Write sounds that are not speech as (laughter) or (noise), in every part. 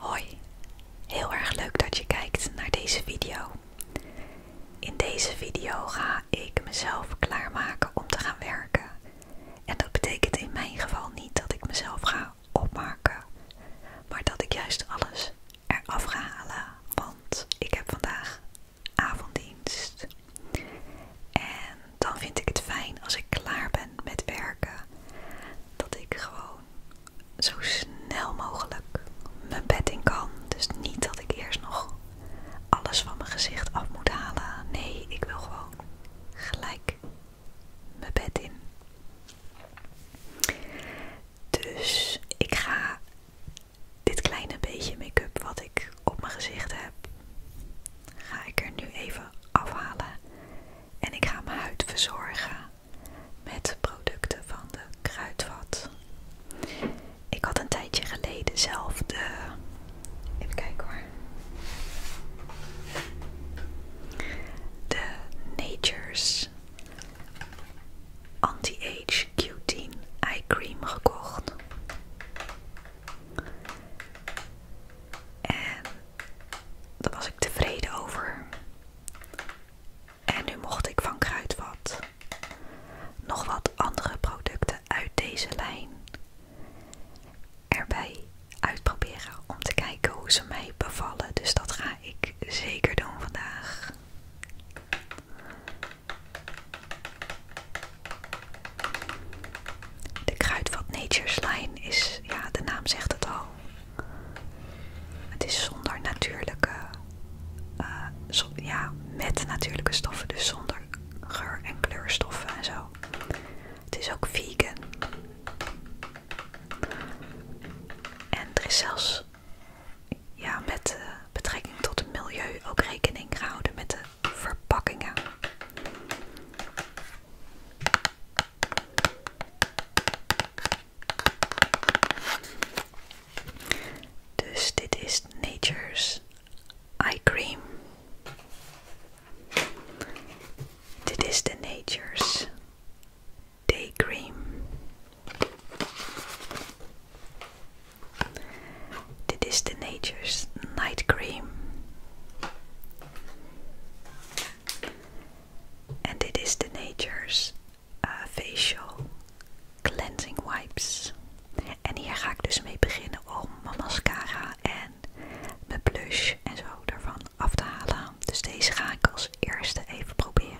Hoi, heel erg leuk dat je kijkt naar deze video. In deze video ga ik mezelf klaarmaken om te gaan werken. En dat betekent in mijn geval niet dat ik mezelf ga opmaken, maar dat ik juist alles eraf ga halen. Want ik heb vandaag avonddienst. En dan vind ik het fijn als ik klaar ben met werken, dat ik gewoon zo snel mogelijk mijn bed in kan. Dus niet dat ik eerst nog alles van mijn gezicht af moet halen. Nee, ik wil gewoon gelijk mijn bed in. Dus ik ga dit kleine beetje make-up wat ik op mijn gezicht heb, ga ik er nu even afhalen. En ik ga mijn huid verzorgen met producten van de kruidvat. Ik had een tijdje geleden zelf de Even kijken hoor. De Nature's Anti-Age Q10 Eye Cream gekocht. En daar was ik tevreden over. En nu mocht ik van Kruidvat nog wat andere producten uit deze lijn erbij uitproberen om te kijken hoe ze mij bevallen. Dus dat ga ik zeker doen vandaag. De kruidvat Nature's Line is, ja, de naam zegt het al. Het is zonder natuurlijke, eh, ja, met natuurlijke stoffen, dus zonder geur- en kleurstoffen en zo. Het is ook vegan. En er is zelfs ja, met eh, betrekking tot het milieu ook rekening gehouden met de verpakkingen. Dus dit is Nature's Eye Cream. Dit is de Nature's Daydream. Dit is de Nature's Night Cream. En dit is de Nature's uh, Facial Cleansing Wipes. En hier ga ik dus mee beginnen om mijn mascara en mijn blush en zo ervan af te halen. Dus deze ga ik als eerste even proberen.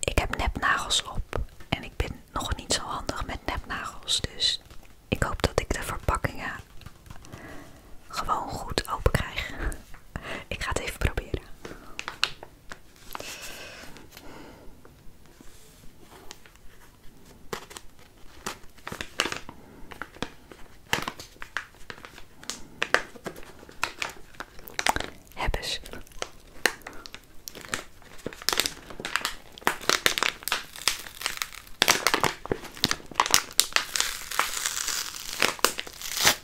Ik heb nepnagels op en ik ben nog niet zo handig met nepnagels, dus ik hoop dat ik de verpakkingen gewoon goed open krijg. (laughs) Ik ga het even proberen. Hebben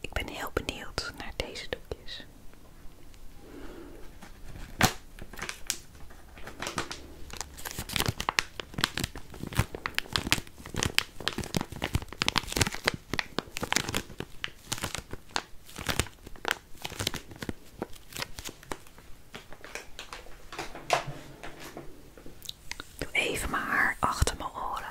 Ik ben heel benieuwd naar deze doekjes. Doe even mijn haar achter mijn oren.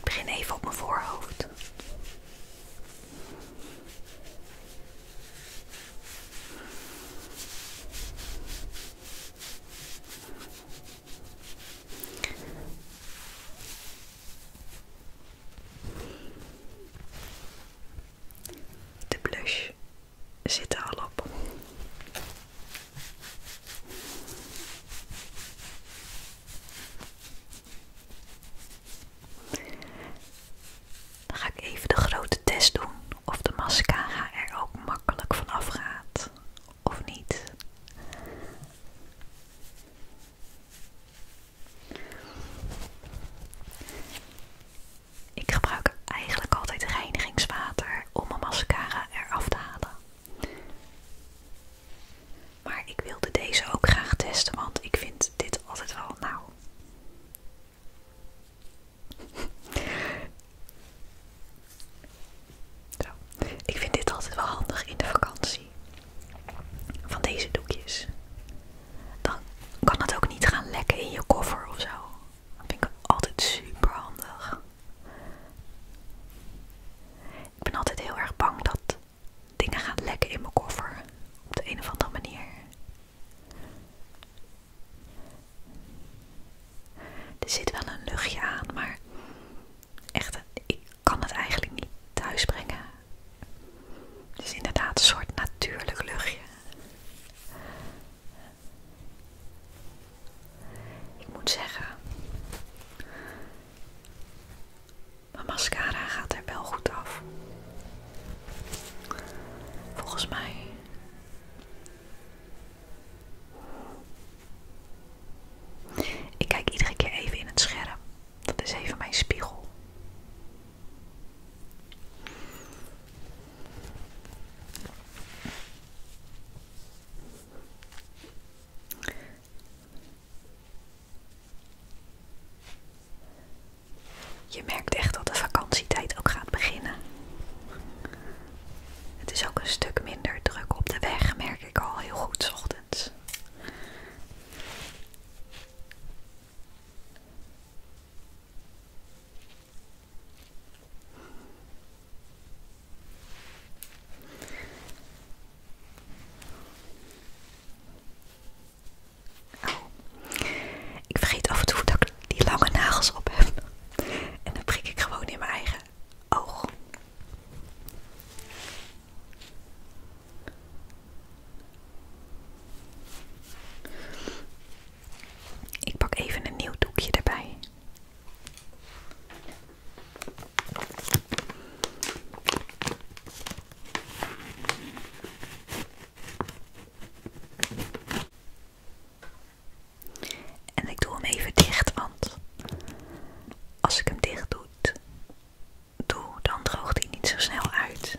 Ik begin even op mijn voorhoofd. De blush zit al op. Dan ga ik even de grote test doen of de mascara er ook makkelijk vanaf gaat of niet. Ik gebruik eigenlijk altijd reinigingswater om mijn mascara eraf te halen. Maar ik wilde deze ook graag testen, want ik vind dit altijd wel, nou... (laughs) Ik vind dit altijd wel handig in de vakantie. Van deze doekjes. Dan kan het ook niet gaan lekken in je koffer of zo. Dat vind ik altijd super handig. Ik ben altijd heel erg bang dat dingen gaan lekken in mijn koffer. Op de een of andere manier. Er zit wel een luchtje aan, maar echt, ik kan het eigenlijk niet thuis brengen. Het is inderdaad een soort natuurlijk luchtje. Ik moet zeggen, maar mascara gaat er wel goed af. Volgens mij. Ik kijk iedere keer even in het scherm. Dat is even mijn spiegel. Je merkt echt dat de vakantietijd ook gaat beginnen. Het is ook een stuk minder druk op de weg, merk ik al heel goed s ochtends. Oh. Ik vergeet af en toe dat ik die lange nagels op heb. En dan prik ik gewoon in mijn eigen oog. Ik pak even een nieuw doekje erbij. En ik doe hem even dicht, want als ik hem dicht doe, doe dan droogt hij niet zo snel uit.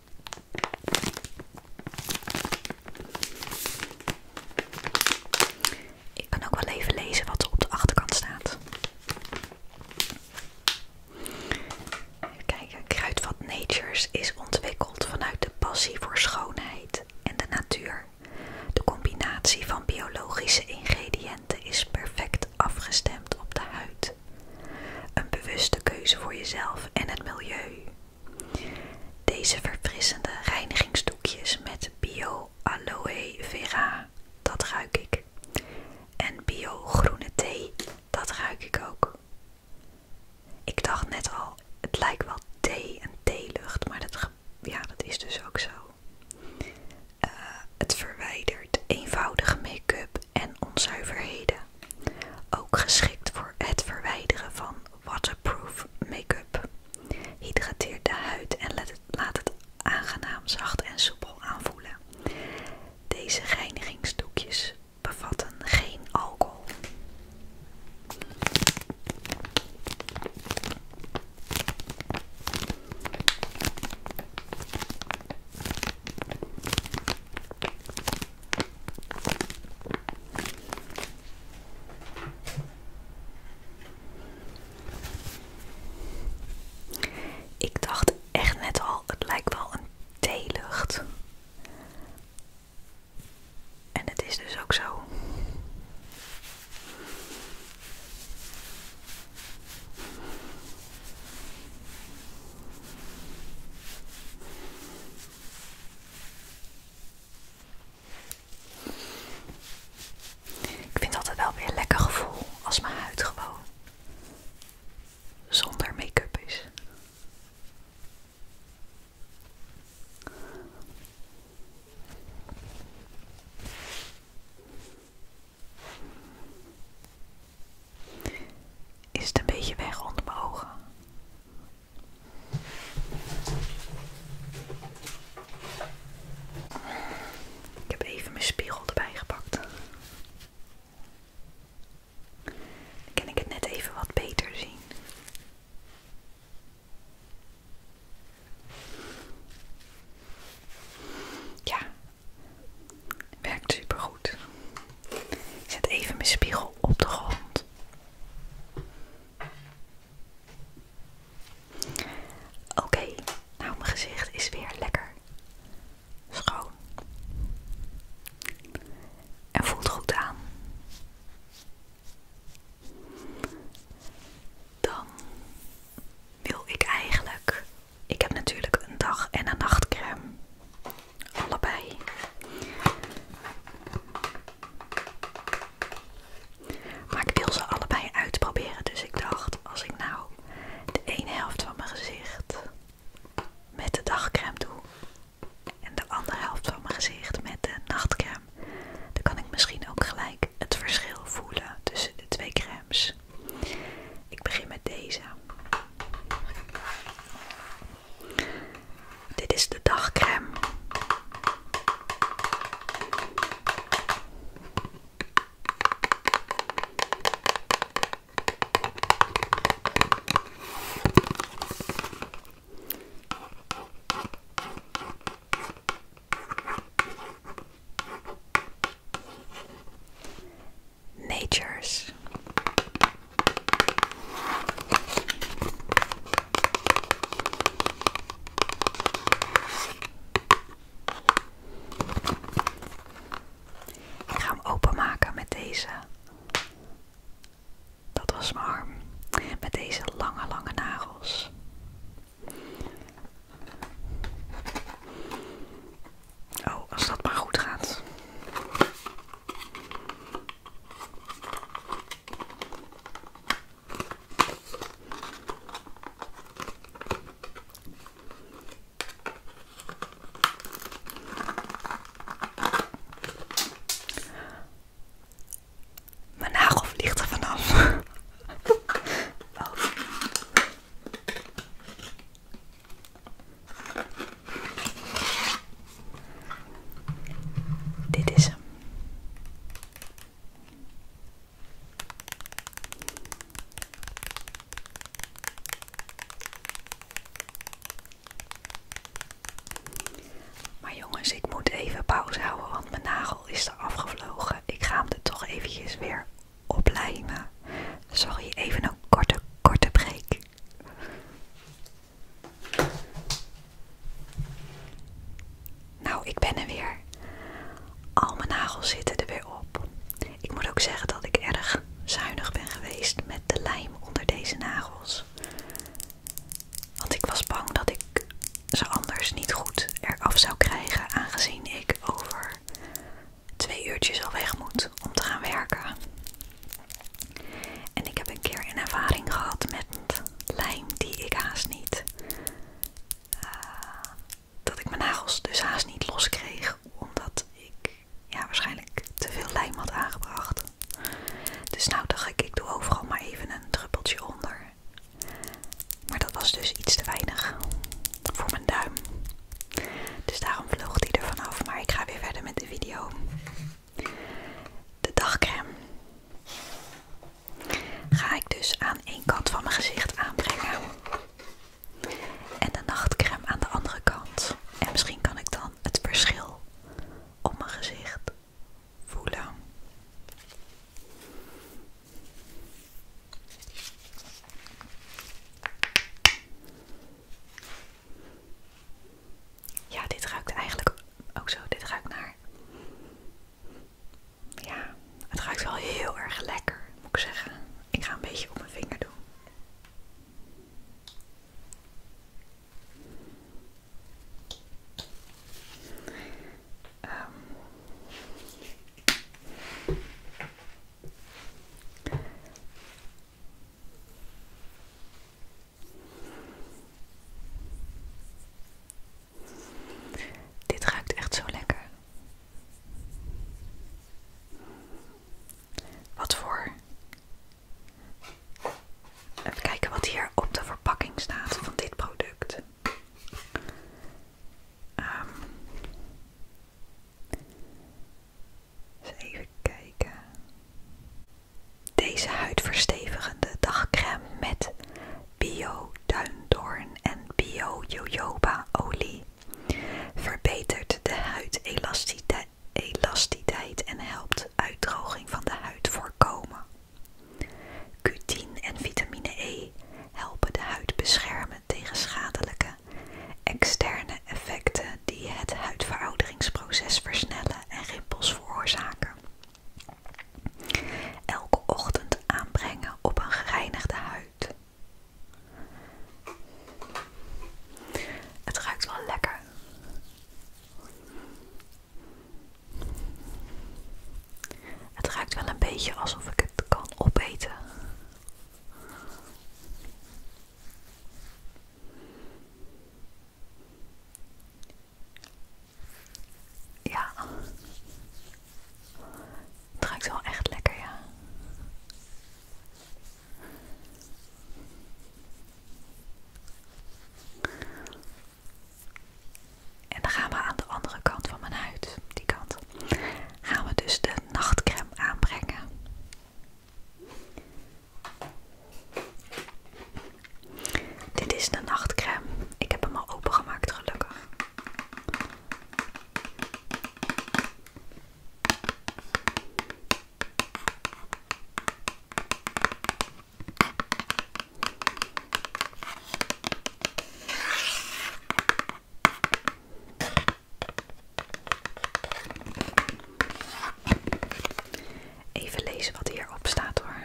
Ik kan ook wel even lezen wat er op de achterkant staat. Even kijken, Kruidvat Natures is ontwikkeld vanuit de passie voor schoonheid en de natuur. De combinatie van biologische ingrediënten is perfect afgestemd op de huid. Een bewuste keuze voor jezelf en het milieu. Deze verfrissende reinigingsdoekjes met bio aloe vera, dat ruik ik. En bio groene thee, dat ruik ik ook. Ik dacht net al, het lijkt wel thee en theelucht, maar dat, ja, dat is dus ook zo. Eh, het verwijdert eenvoudige make-up en onzuiverheden. Ook geschikt voor het verwijderen van waterproof make-up. Hydrateert de huid en laat het, laat het aangenaam zacht en soepel aanvoelen. Deze reinigingsdoekjes bevatten geen alcohol. Ik dacht echt net al, het lijkt wel een theelucht. En het is dus ook zo. Ik vind altijd wel weer een lekker gevoel als mijn huid gewoon zonder make-up is. Is het een beetje weg onder mijn ogen? Ik heb even mijn spiegel erbij gepakt. Dan kan ik het net even wat beter zien. Ja, werkt supergoed. Ik zet even mijn spiegel op de grond. Oké, nou mijn gezicht is weer lekker schoon. En voelt goed aan. Dan wil ik eigenlijk. Ik heb natuurlijk een dag- en een nachtcreme. Allebei. Maar ik wil ze allebei uitproberen. Dus ik dacht, als ik nou de ene helft van mijn gezicht met de dagcrème doe. En de andere helft van mijn gezicht met de nachtcrème. Dan kan ik misschien ook gelijk het verschil voelen tussen de twee crèmes. Ik begin met deze. Dit is de dagcrème. Nature's ik ga hem openmaken met deze. Dat was mijn arm. Met deze lange, lange nagels. Oh, als dat maar goed gaat. Mijn nagel vliegt er vanaf. (laughs) Dit is hem. Maar jongens, ik moet even pauze houden, want mijn nagel is er afgevlogen. Ik ga hem er toch eventjes weer oplijmen. Sorry, even een korte, korte break. Nou, ik ben er weer. Al mijn nagels zitten er weer op. Ik moet ook zeggen dat ik erg zuinig ben geweest met de lijm onder deze nagels. Want ik was bang dat ik ze anders niet goed eraf zou krijgen, aangezien ik over twee uurtjes al weg moet om te gaan werken. En ik heb een keer een ervaring gehad met lijm die ik haast niet. Eh, dat ik mijn nagels dus haast niet los kreeg, omdat ik ja, waarschijnlijk te veel lijm had aangebracht. Dus nou dacht ik, ik doe overal maar even een druppeltje onder. Maar dat was dus iets te weinig voor mijn duim. Dus daarom vloog die er vanaf. Maar ik ga weer verder met de video. De dagcrème ga ik dus aan één kant van mijn gezicht aanbrengen. En de nachtcrème aan de andere kant. En misschien kan ik dan het verschil op mijn gezicht voelen. Ja, dit ruikt eigenlijk ook zo. Dit ruikt naar. Ja, het ruikt wel heel erg lekker, moet ik zeggen. Ik ga een beetje op mijn vinger doen. Ehm. Dit ruikt echt zo lekker. Wat voor? Even kijken wat hier op de verpakking staat van dit product. Ehm, even kijken. Deze huidverstevigende dagcrème met bio duindoorn en bio jojoba olie verbetert de huidelasticiteit en helpt uitdroging van de huid voorkomen. Cutine en vitamine E helpen de huid beschermen tegen schadelijke externe effecten die het huidverouderingsproces versnellen en rimpels veroorzaken. Elke ochtend aanbrengen op een gereinigde huid. Het ruikt wel lekker. Het ruikt wel een beetje alsof ik het kan opeten. Ja. Het wel echt lekker, ja. En dan gaan we aan de andere kant van mijn huid, die kant, gaan we dus de nachtcreme aanbrengen. Dit is de nachtcrème. Ik heb hem al open gemaakt gelukkig. Even lezen wat hierop staat hoor.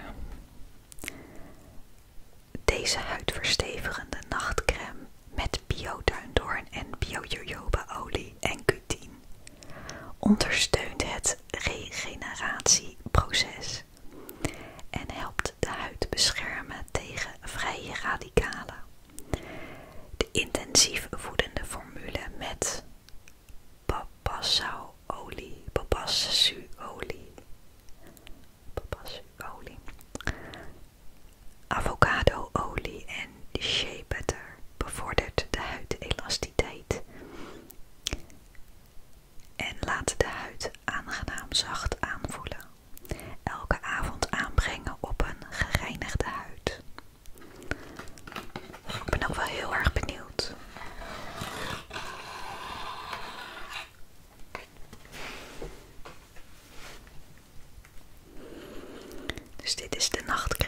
Deze huidversteverende nachtcreme met bio-duindoorn en bio olie en cutine ondersteunt het regeneratieproces en helpt de huid beschermen tegen vrije radicalen. De intensief voedende formule met Papasau-olie, papasu-olie, avocado-olie en shea butter bevordert de huidelasticiteit en laten de huid aangenaam zacht aanvoelen. Elke avond aanbrengen op een gereinigde huid. Ik ben ook wel heel erg benieuwd. Dus dit is de nachtcrème.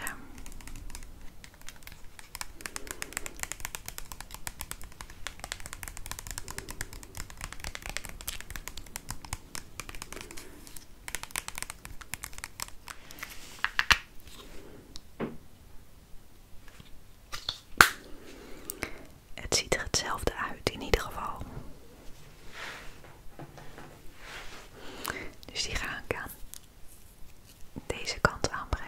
Het ziet er hetzelfde uit in ieder geval. Dus die gaan ik aan deze kant aanbrengen.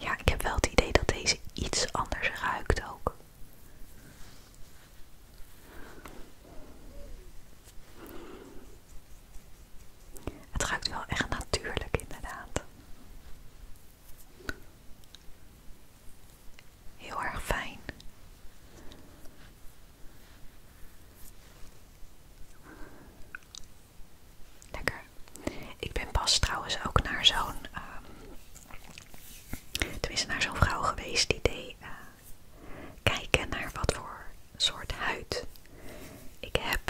Ja, ik heb wel het idee dat deze iets anders ruikt ook. Het ruikt wel echt natuurlijk inderdaad. Heel erg fijn. Lekker. Ik ben pas trouwens ook naar zo'n. Ehm, tenminste, naar zo'n vrouw geweest die deed eh, kijken naar wat voor soort huid ik heb.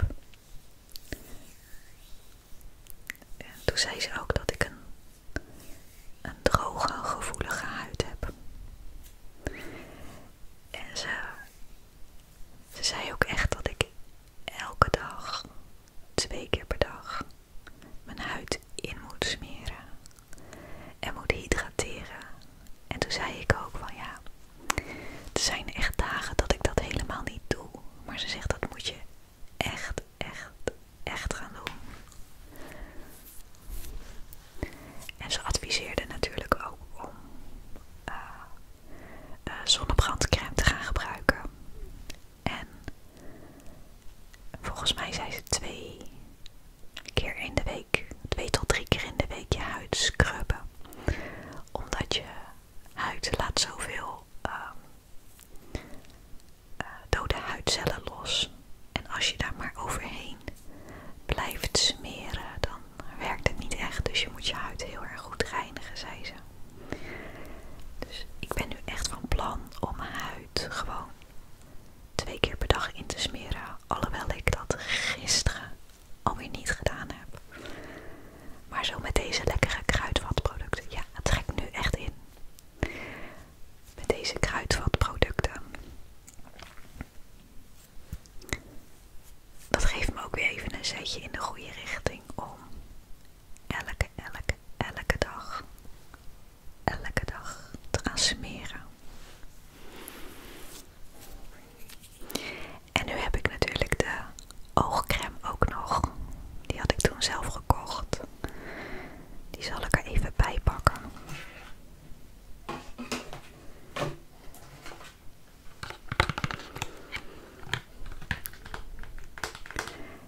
En toen zei ze ook dat ik een, een droge, gevoelige huid heb. En ze ze zei ook echt dat ik elke dag, twee keer per dag, mijn huid in moet smeren en moet hydrateren. En toen zei ik ook van ja, er zijn echt dagen dat ik dat helemaal niet doe. Maar ze zegt dat moet je echt, echt, echt gaan doen. En ze adviseerde natuurlijk ook om eh, uh, zonnebrandcrème te gaan gebruiken. En volgens mij zijn ze twee keer in de week, twee tot drie keer in de week je huid scrubben. Omdat je huid laat zoveel ehm, eh, dode huidcellen los. En als je daar maar overheen blijft smeren, dan werkt het niet echt. Dus je moet je huid heel erg goed reinigen, zei ze. Dus ik ben nu echt van plan om mijn huid gewoon twee keer per dag in te smeren. Alhoewel ik dat gisteren alweer niet gedaan heb. Maar zo met deze lekkere kruidvatproducten. Ja, het trekt nu echt in. Met deze kruidvatproducten. Dat geeft me ook weer even een zetje in de goede richting om elke, elke, elke dag, elke dag te gaan smeren. En nu heb ik natuurlijk de oogcreme ook nog. Die had ik toen zelf gekocht. Die zal ik er even bij pakken.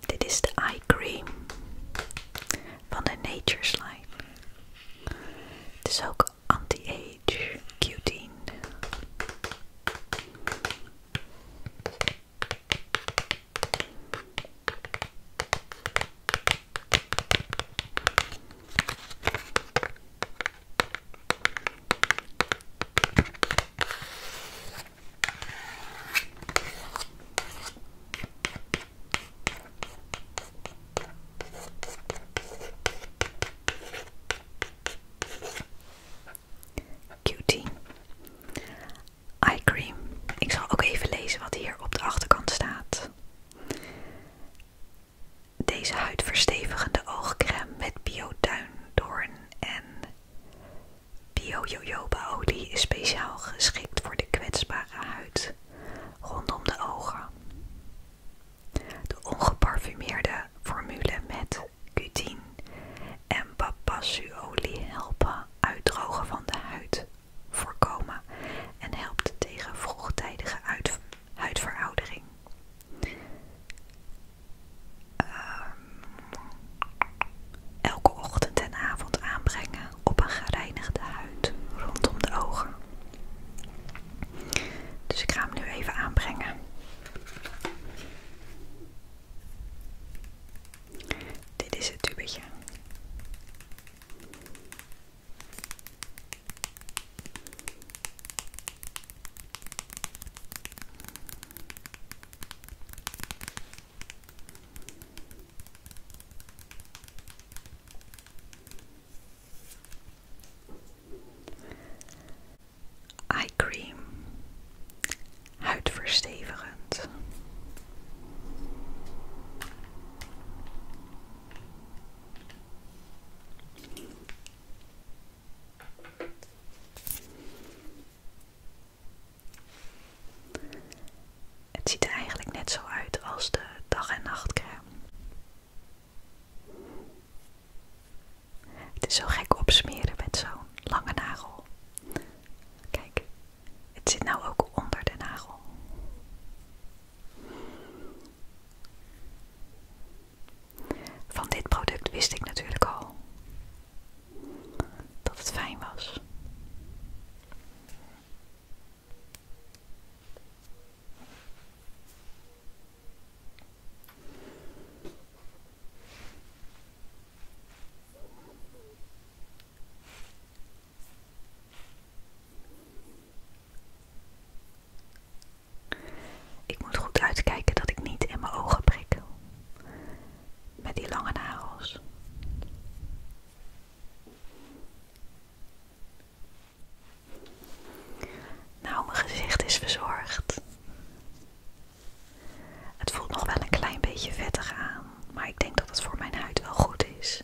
Dit is de eye cream van de Nature's Line. Het is ook anti-age q Cutie. Eye cream. Ik zal ook even lezen wat hier op de achterkant staat. Deze huidverstevigende oogcrème met bio bioduindoorn en bio olie is speciaal geschikt voor de kwetsbare huid rondom de ogen. De ongeparfumeerde formule met cutine en papassuolie helpen uitdrogen van de huid voorkomen en helpt tegen vroegtijdige huidveroudering. Ehm, elke ochtend en avond aanbrengen op een gereinigde huid rondom de ogen. Dus ik ga hem nu even aanbrengen. Dit is het tubetje. Eye cream, huidverstevigend. Het ziet er eigenlijk net zo uit als de dag- en nachtcrème. Het is zo gek opsmeren met zo'n lange nagel. Kijk, het zit nou ook onder de nagel. Van dit product wist ik natuurlijk al dat het fijn was. Ik moet goed uitkijken dat ik niet in mijn ogen prik. Met die lange nagels. Nou, mijn gezicht is verzorgd. Het voelt nog wel een klein beetje vettig aan, maar ik denk dat het voor mijn huid wel goed is,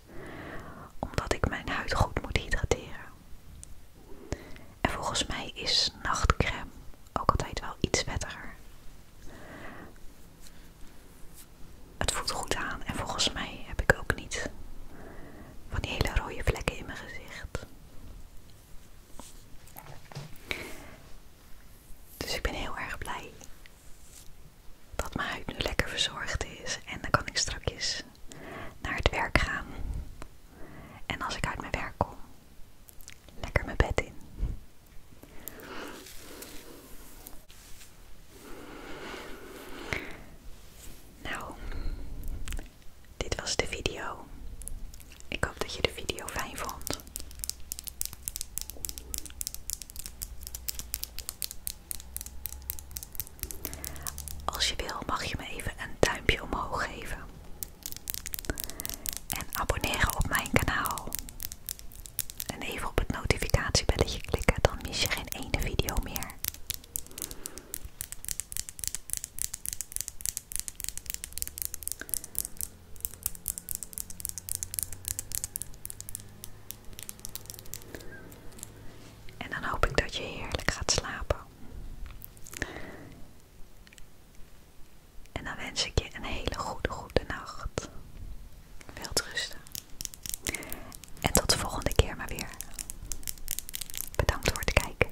omdat ik mijn huid goed moet hydrateren. En volgens mij is nachtcrème ook altijd wel iets wettiger. Het voelt goed aan en volgens mij heb ik ook niet van die hele rode vlekken in mijn gezicht. Dus ik ben heel erg blij dat mijn huid nu lekker verzorgd is en dan kan ik strakjes naar het werk gaan. En als ik uit mijn werk kom, lekker mijn bed in. Nou, dit was de video. Ik hoop dat je de video fijn vond. Als je wil mag je me even een duimpje omhoog geven. En abonneren op mijn kanaal. En even op het notificatiebelletje klikken, dan mis je geen ene video meer. En dan hoop ik dat je heerlijk gaat slapen. En dan wens ik je een hele goede, goede nacht. rust En tot de volgende keer maar weer. Bedankt voor het kijken.